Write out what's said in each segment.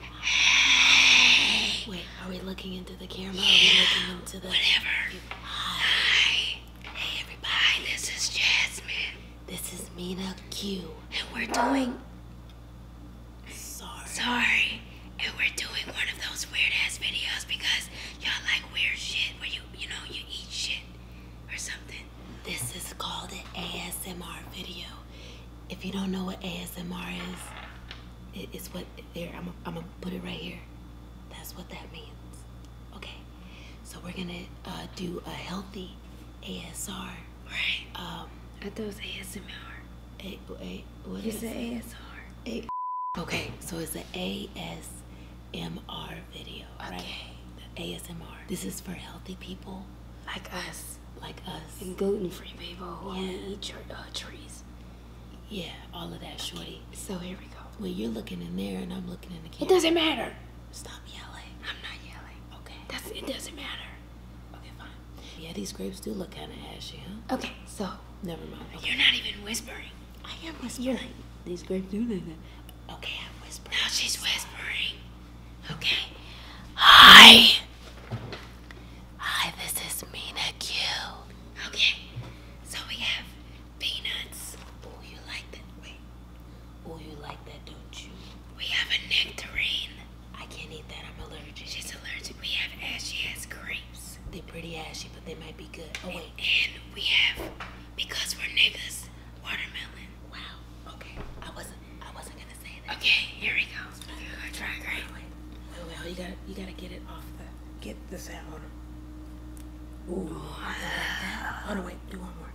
Hey. Wait, are we looking into the camera? Are we looking into the whatever? Hi. Hey everybody, this is Jasmine. This is Mina Q. And we're doing Sorry. Sorry. And we're doing one of those weird ass videos because y'all like weird shit where you you know you eat shit or something. This is called an ASMR video if you don't know what ASMR is, it's what there. I'm I'm gonna put it right here. That's what that means. Okay, so we're gonna uh, do a healthy ASR. Right. Um, I thought it was ASMR. A, a, what it's is ASR. A, okay, so it's an ASMR video. Okay. Right? ASMR. This is for healthy people. Like us like us. And gluten free people who yeah. eat your, uh, trees. Yeah, all of that, shorty. so here we go. Well, you're looking in there and I'm looking in the camera. It doesn't matter. Stop yelling. I'm not yelling. Okay. That's It doesn't matter. Okay, fine. Yeah, these grapes do look kind of ashy, huh? Okay, so. Never mind. You're not even whispering. I am whispering. You're, like these grapes do look Okay, I'm whispering. Now she's whispering. Okay. Hi. Hi, this is Mina Q. Okay. So we have peanuts. Oh, you like that? Wait. Oh, you like that, don't you? We have a nectarine. I can't eat that. I'm allergic. She's allergic. We have ashy ass grapes. They're pretty ashy, but they might be good. Oh, And, we have, because we're niggas, watermelon. Wow. Okay. I wasn't. Okay, here we go. try great. Wait, wait, you gotta, you gotta get it off the. Get this out. Hold on. wait. Do one more.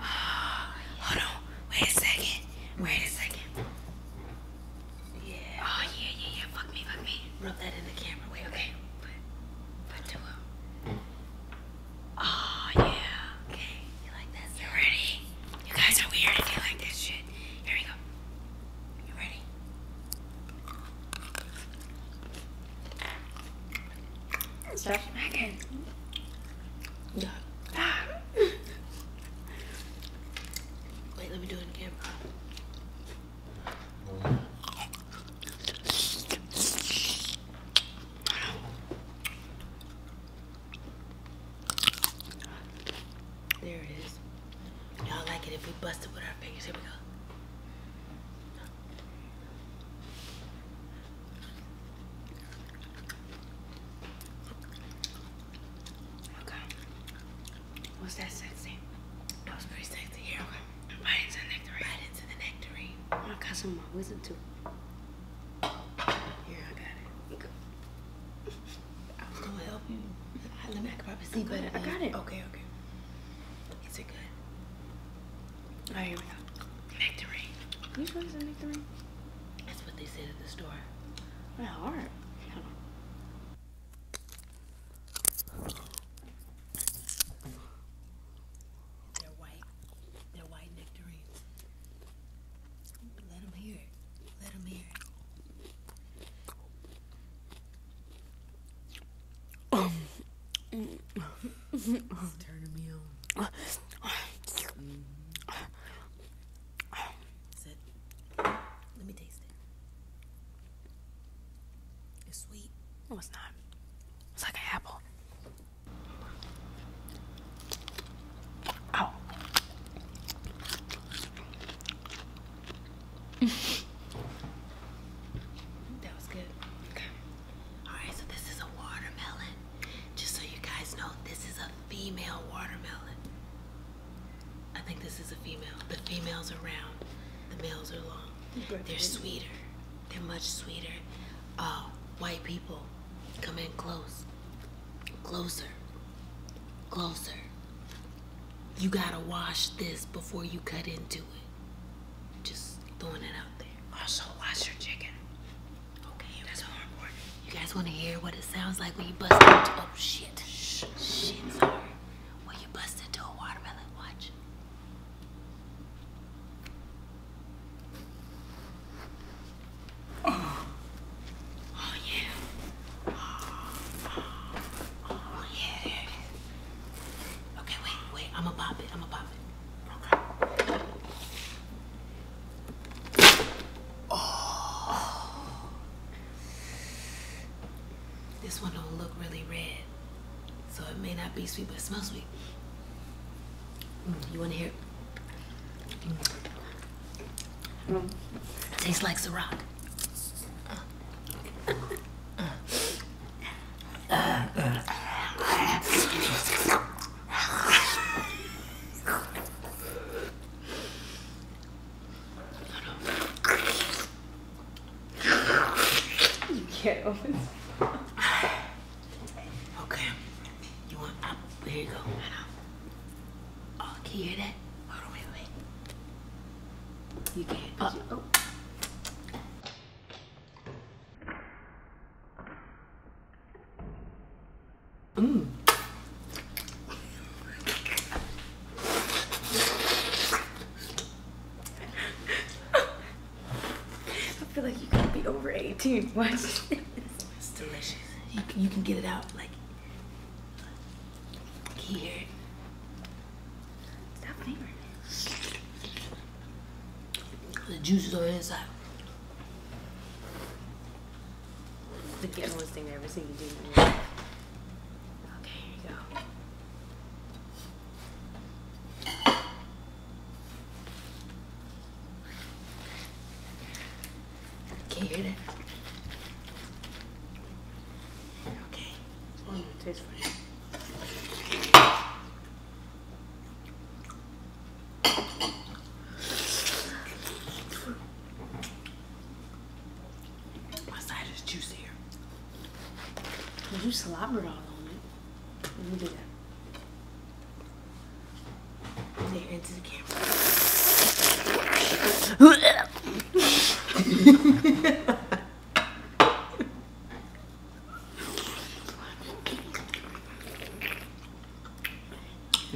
Oh, hold Wait a second. Wait a second. Yeah. Oh yeah, yeah, yeah. Fuck me, fuck me. Rub that in the camera. Wait, okay. Put, put two Oh yeah. Okay. You like this? You ready? You guys are weird if you like this shit. Here we go. You ready? Stop smacking. Yeah. Wait, let me do it again. There it is. Y'all like it if we bust it with our fingers. Here we go. Okay. What's that sexy? That was pretty sexy. Here, okay. Right into the nectarine. Right into the nectarine. My cousin, my wisdom too. Here, I got it. I was gonna help you. Let me, I can probably see I better. I got it. Okay, okay. Is it good? All right, here we go. Nectarine. You sure it's nectarine? That's what they said at the store. What hard. They're white. They're white nectarines. Let him hear Let him hear it's turning me on. Mm. Let me taste it. It's sweet. No, it's not. It's like an apple. Ow. that was good. Okay. Alright, so this is a watermelon. Just so you guys know, this is a female watermelon. I think this is a female. The females are round. The males are long. They're sweeter. They're much sweeter. Uh, white people Come in close. Closer. Closer. You gotta wash this before you cut into it. Just throwing it out there. Also, wash your chicken. Okay, that's more important. You guys wanna hear what it sounds like when you busted? Oh, shit. Shh. Shit, sorry. When you busted into a watermelon, watch. Oh. yeah. Oh, yeah, Okay, wait, wait. I'm going to pop it. I'm going to pop it. Okay. Oh. This one don't look really red, so it may not be sweet, but it smells sweet. Mm, you want to hear? Mm. Tastes like Ciroc. okay. You want up? Here you go. Oh, can you hear that? You can't. oh. Mmm. I feel like you gotta be over 18. Watch It's delicious. You can, get it out like here. Stop fingering The juice is on the inside. The cannibalist thing I ever seen you do. Okay, here you go. Can you hear that? Okay. Mm, tastes funny. you slobbered all on it. Let me do that. There into the camera.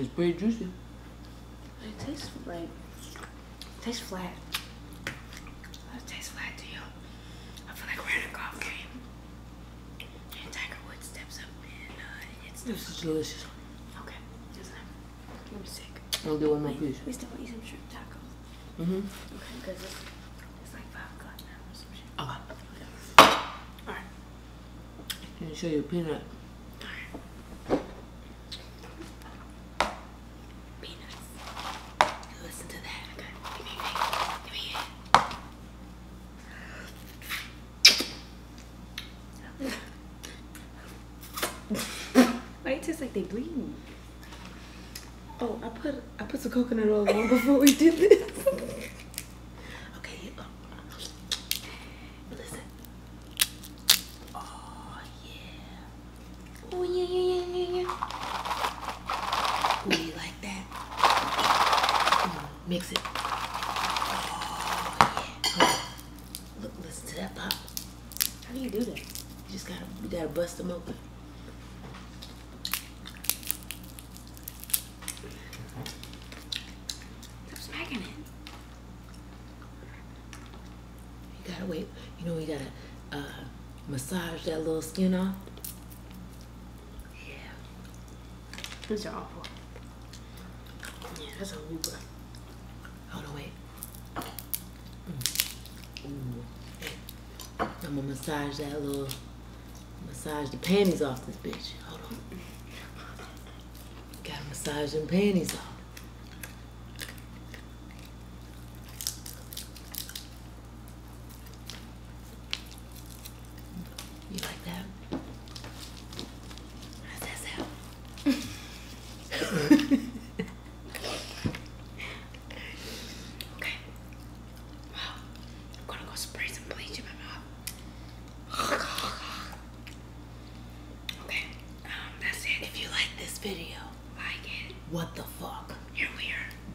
it's pretty juicy. It tastes like it tastes flat. It tastes flat to you. I feel like we're in a golf game. Uh, this is delicious. Okay, I'm sick. I'll do one my piece. We still want to eat some shrimp tacos. Mm hmm. Okay, because Alright. Can you show your peanut? Alright. Listen to that. Give me it. Give me it. Why it tastes like they bleed? Oh, I put I put some coconut oil on before we did this. okay. Listen. Oh yeah. Oh yeah yeah yeah yeah yeah. Mix it. Oh, Look, listen to that pop. How do you do that? You just gotta, you gotta bust them open. Stop smacking it. You gotta wait. You know, you gotta uh, massage that little skin off. Yeah. These are awful. Yeah, that's a Luba. Hold on, wait. Mm. I'm gonna massage that little, massage the panties off this bitch. Hold on. Gotta massage them panties off. You like that? How's that sound? okay. Wow. I'm gonna go spray some bleach in my mouth. Okay. Um, that's it. If you like this video, like it. What the fuck?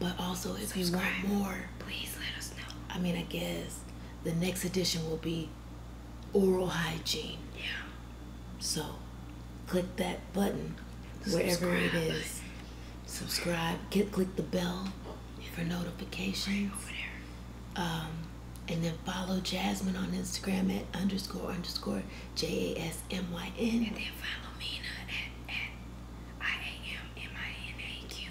But also, if you want more, please let us know. I mean, I guess the next edition will be oral hygiene. Yeah. So, click that button wherever it is. Subscribe. click the bell for notifications. Um, and then follow Jasmine on Instagram at underscore underscore J A S M Y N. And then follow Mina at, at I A M M I N A Q